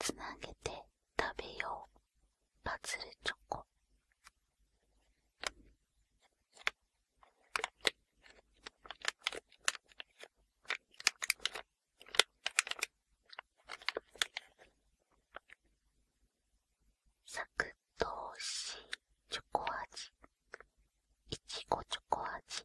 つなげて食べようパズルチョコサクッとおしチョコ味いちごチョコ味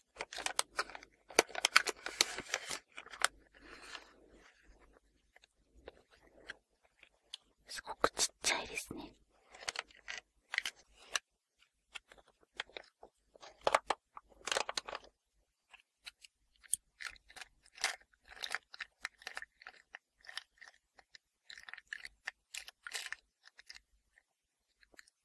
すごくちっちゃいですね。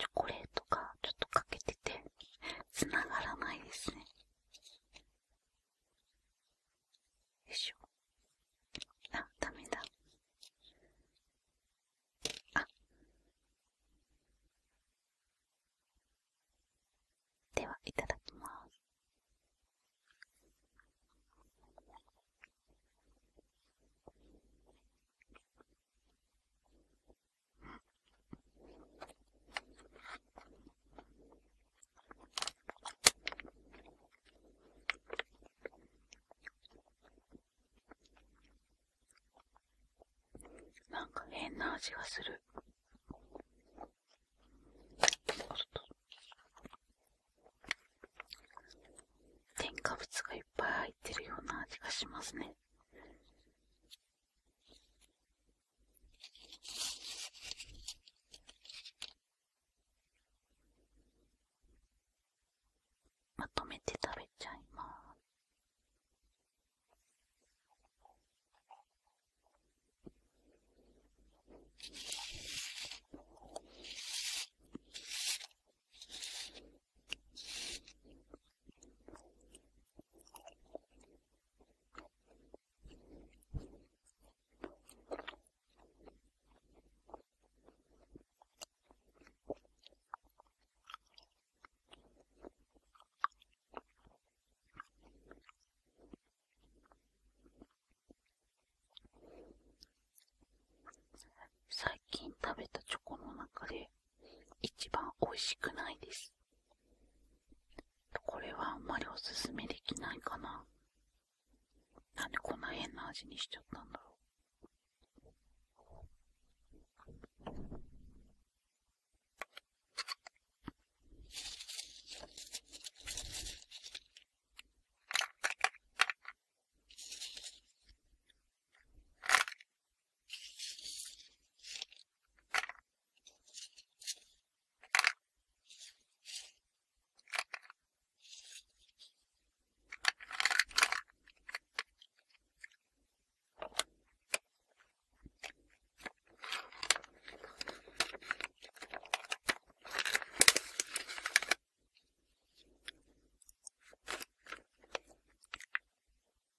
チョコレートがちょっとかけてて、つながらないですね。よいしょあダメだあではいただきますうん。なんか変な味がする。添加物がいっぱい入ってるような味がしますね。まとめて食べちゃいます。最近食べたチョコの中で一番美味しくないです。これはあんまりおすすめできないかな。なんでこんな変な味にしちゃったんだろう。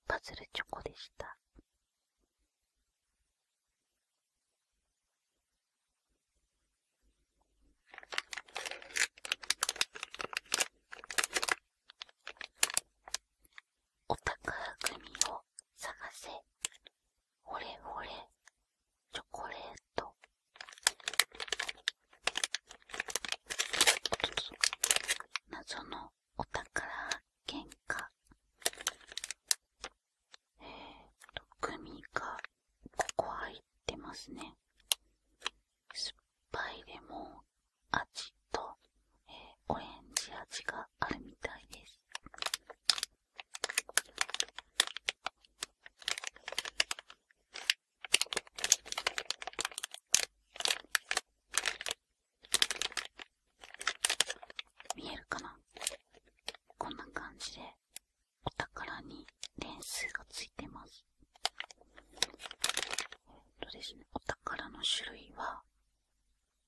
パズルチョコでした。オタクグミを探せほれほれチョコレート謎のお宝喧か。えっとグミがここ入ってますね酸っぱいレモン味と、えオレンジ味があるみたいです見えるかなこんな感じでお宝に点数がついてますえっとですねお宝の種類は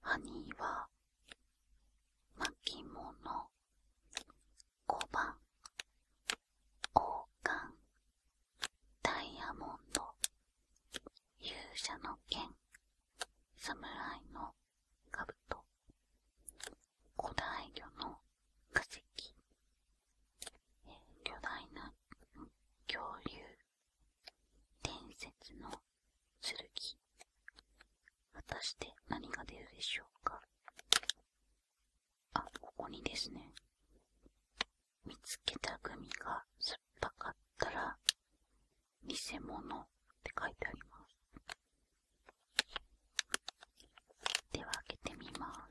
ハニーは巻物小判王冠ダイヤモンド勇者の剣侍のカブト古代魚の化石、巨大な恐竜伝説の剣果たして何が出るでしょうかあ、ここにですね見つけたグミが酸っぱかったら偽物って書いてあります。では開けてみます。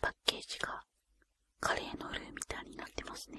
パッケージがカレーのルーみたいになってますね。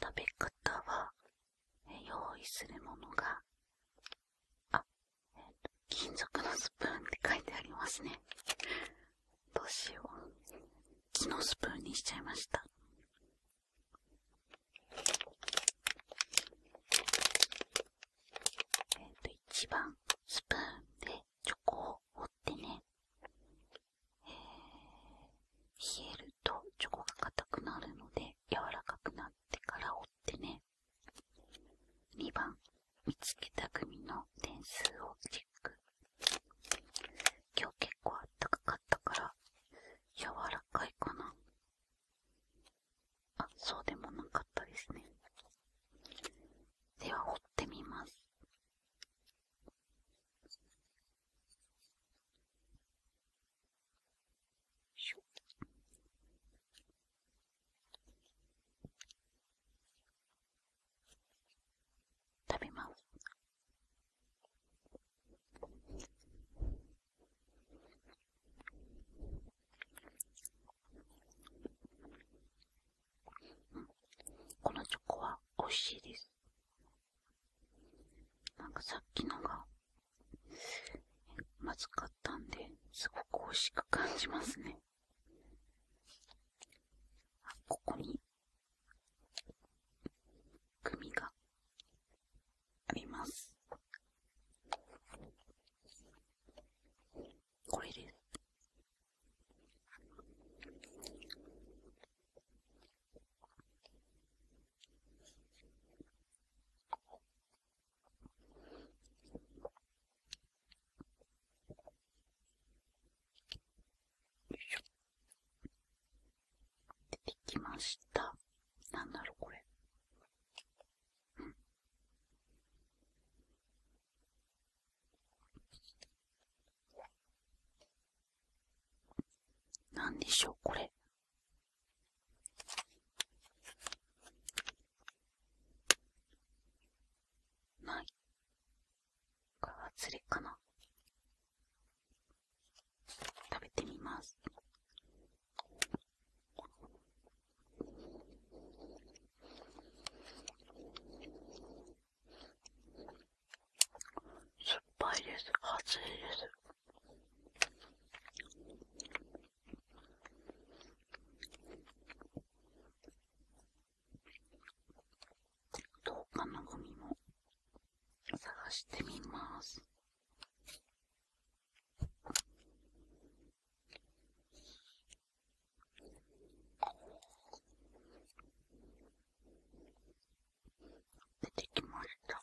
食べ方は、用意するものが、あ、え金属のスプーンって書いてありますね。どうしよう木のスプーンにしちゃいましたえっ、と一番スプーンでチョコを折ってね、えー、冷えるとチョコが硬くなるので柔らかくなってから折ってね2番見つけた組の点数をチェキング今日結構あったかかったから柔らかいかなあそうでもなかったですねでは掘ってみますし食べます。うん、このチョコは美味しいです。なんかさっきのがまずかったんですごく美味しく感じますね。あ、ここに組があります。これです。よいしょ。出てきました。なんだろう、これ。うん。なんでしょう、これ。ない。川釣りかな食べてみます酸っぱいです熱いですどうかのゴミも探してみます。出てきました。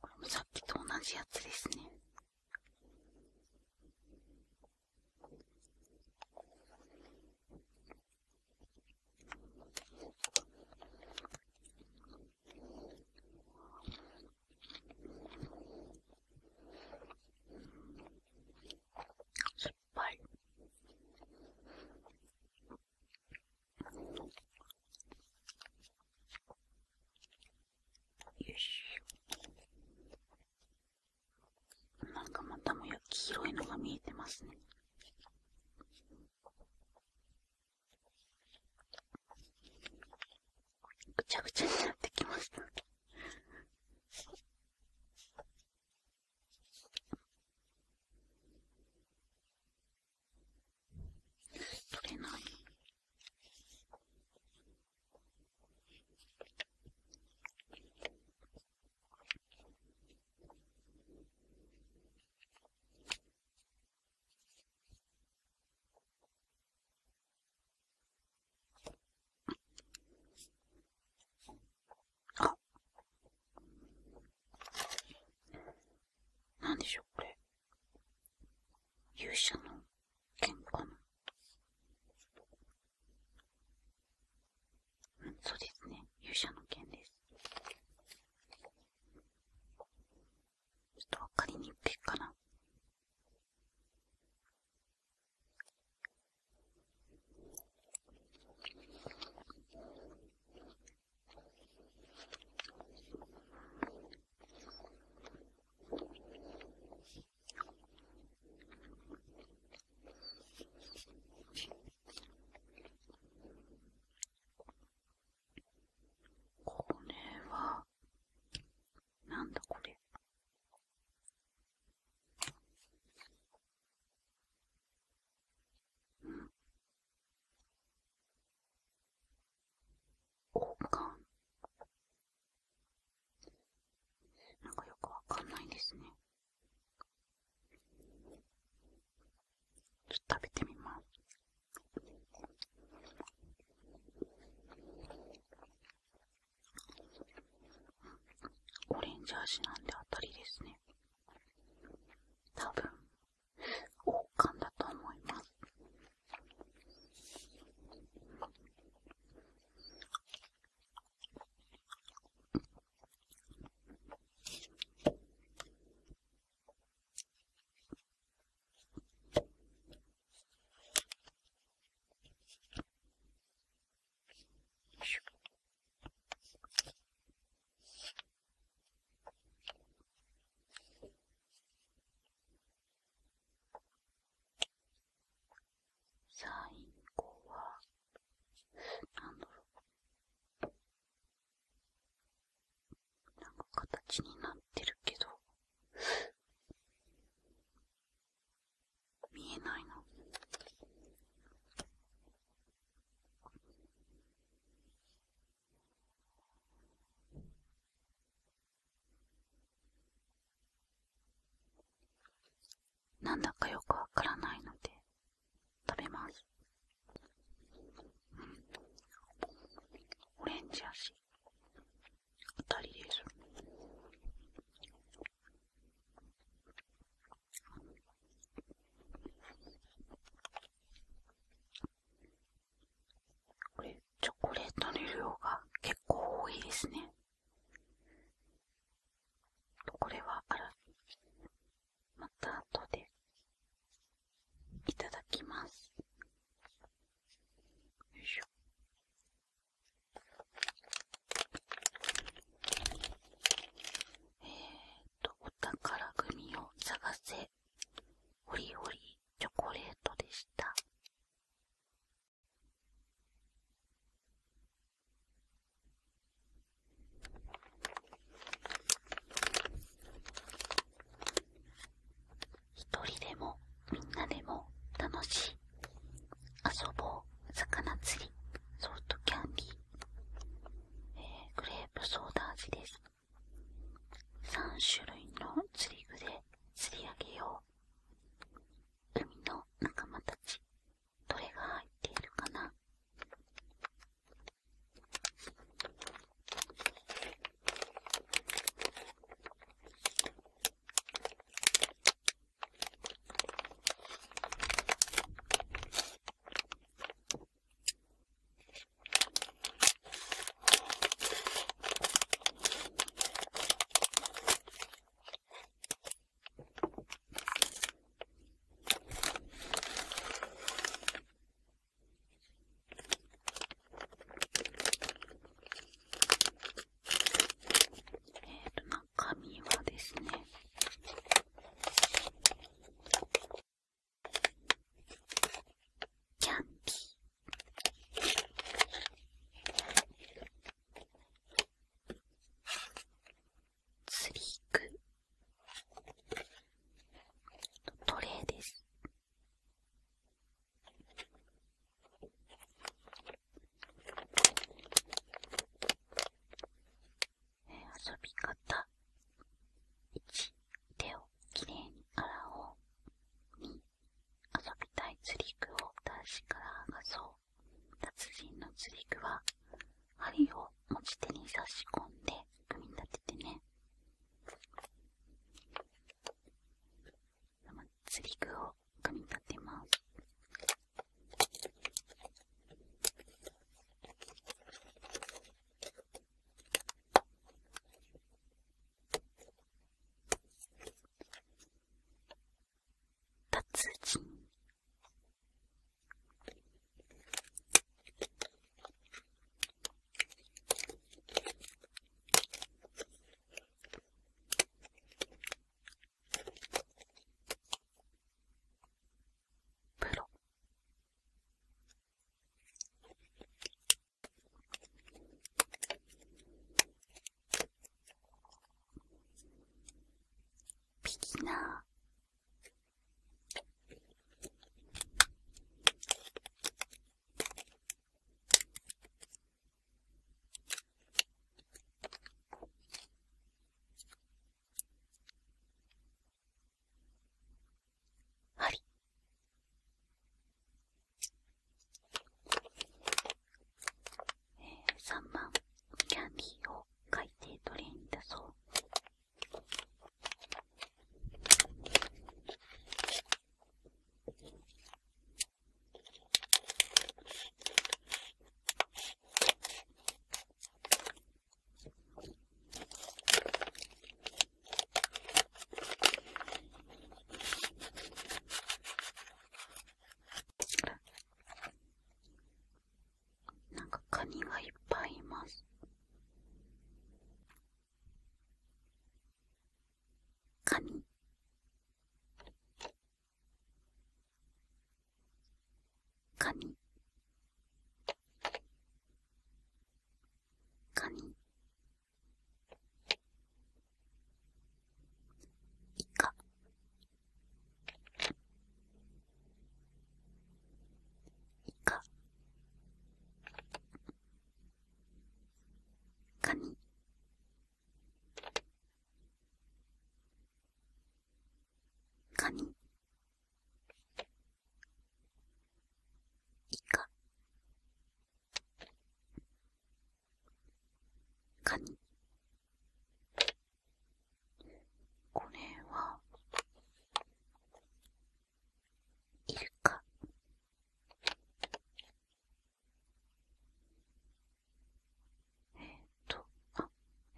これもさっきと同じやつですね失敗。よし。なんかまたもや黄色いのが見えてますね。ぐちゃぐちゃになってきました。取れない。なんでしょう、これ。勇者の剣かな。うん、そうですね。勇者の剣です。ちょっとわかりにくいかな。これは、なんだこれ。うん、なんか、なんかよくわかんないですね。ちょっと食べてみます。オレンジ味なんで当たりですね。多分、王冠だと思います。最後は、なんだろう。なんか形になってるけど、見えないな。なんだかよくわからないので食べます、うん、オレンジやし当たりですこれチョコレートの量が結構多いですねこれはあらまた後でいただきますよいしょえー、っとお宝組を探せで、ホリホリチョコレートでした。一人でもみんなでも楽しい。遊ぼう、魚釣り、ソフトキャンディー、えー、グレープソーダ味です。3種類の釣り具で釣り上げよう海の仲間たちどれが入っているかなえーと、中身はですね、キャンピー釣り具トレーですえ、遊び方1手をきれいに洗おう。2、遊びたい釣り具を男子から剥がそう。達人の釣り具は、針を持ち手に差し込んで組み立ててね。釣り具を組み立てます。達人プロビギナーあり。えー、3万キャンディーを海底トレイにだそう。なんかカニがいっぱいいますカニカニカニイカイカカニカニイカカニこれはイルカえっ、とあ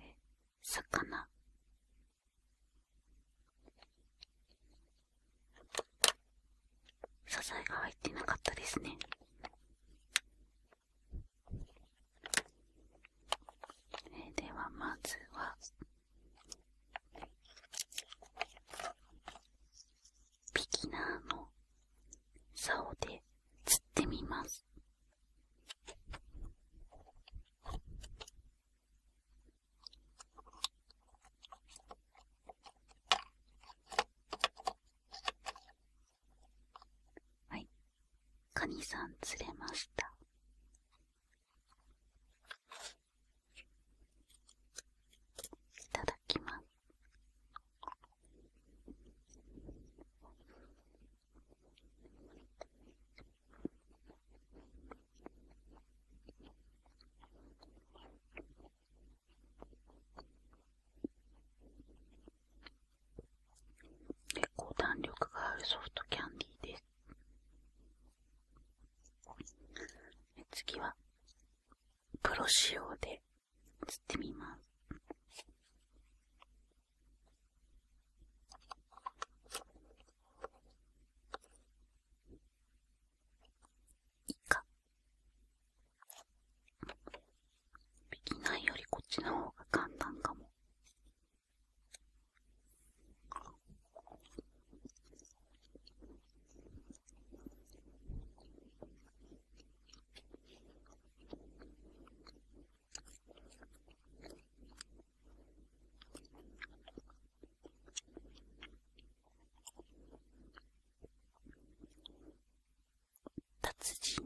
え魚支えが入ってなかったですね。えではまずは、ビギナーの竿で釣ってみます。はい。カニさん釣れました。いただきます。結構弾力があるソフトキャンディーです。次は、プロ仕様で写ってみます。いいか。できないよりこっちの方が簡単かも。達人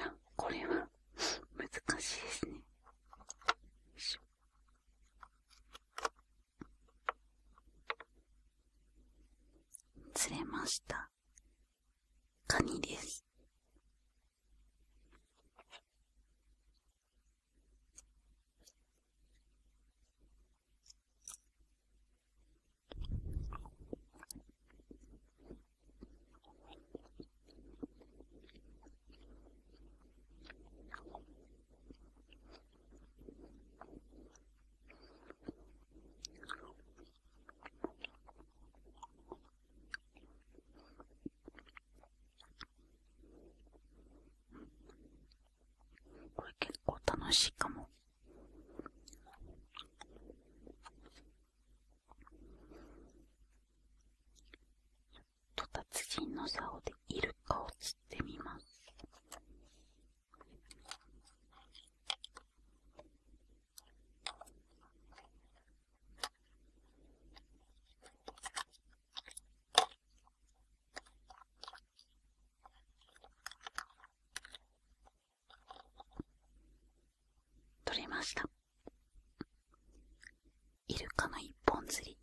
あこれは難しいですね釣れましたカニです。うん。これ結構楽しいかも。ちょっと達人の竿でイルカを釣ってみます。取れましたイルカの一本釣り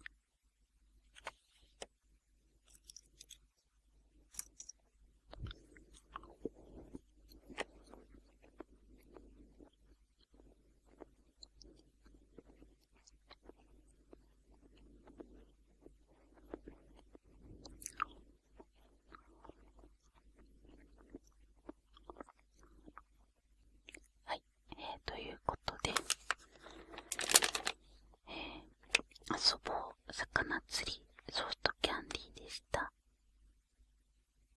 はい、えー、ということで、えー、遊ぼう魚釣りソフトキャンディーでした。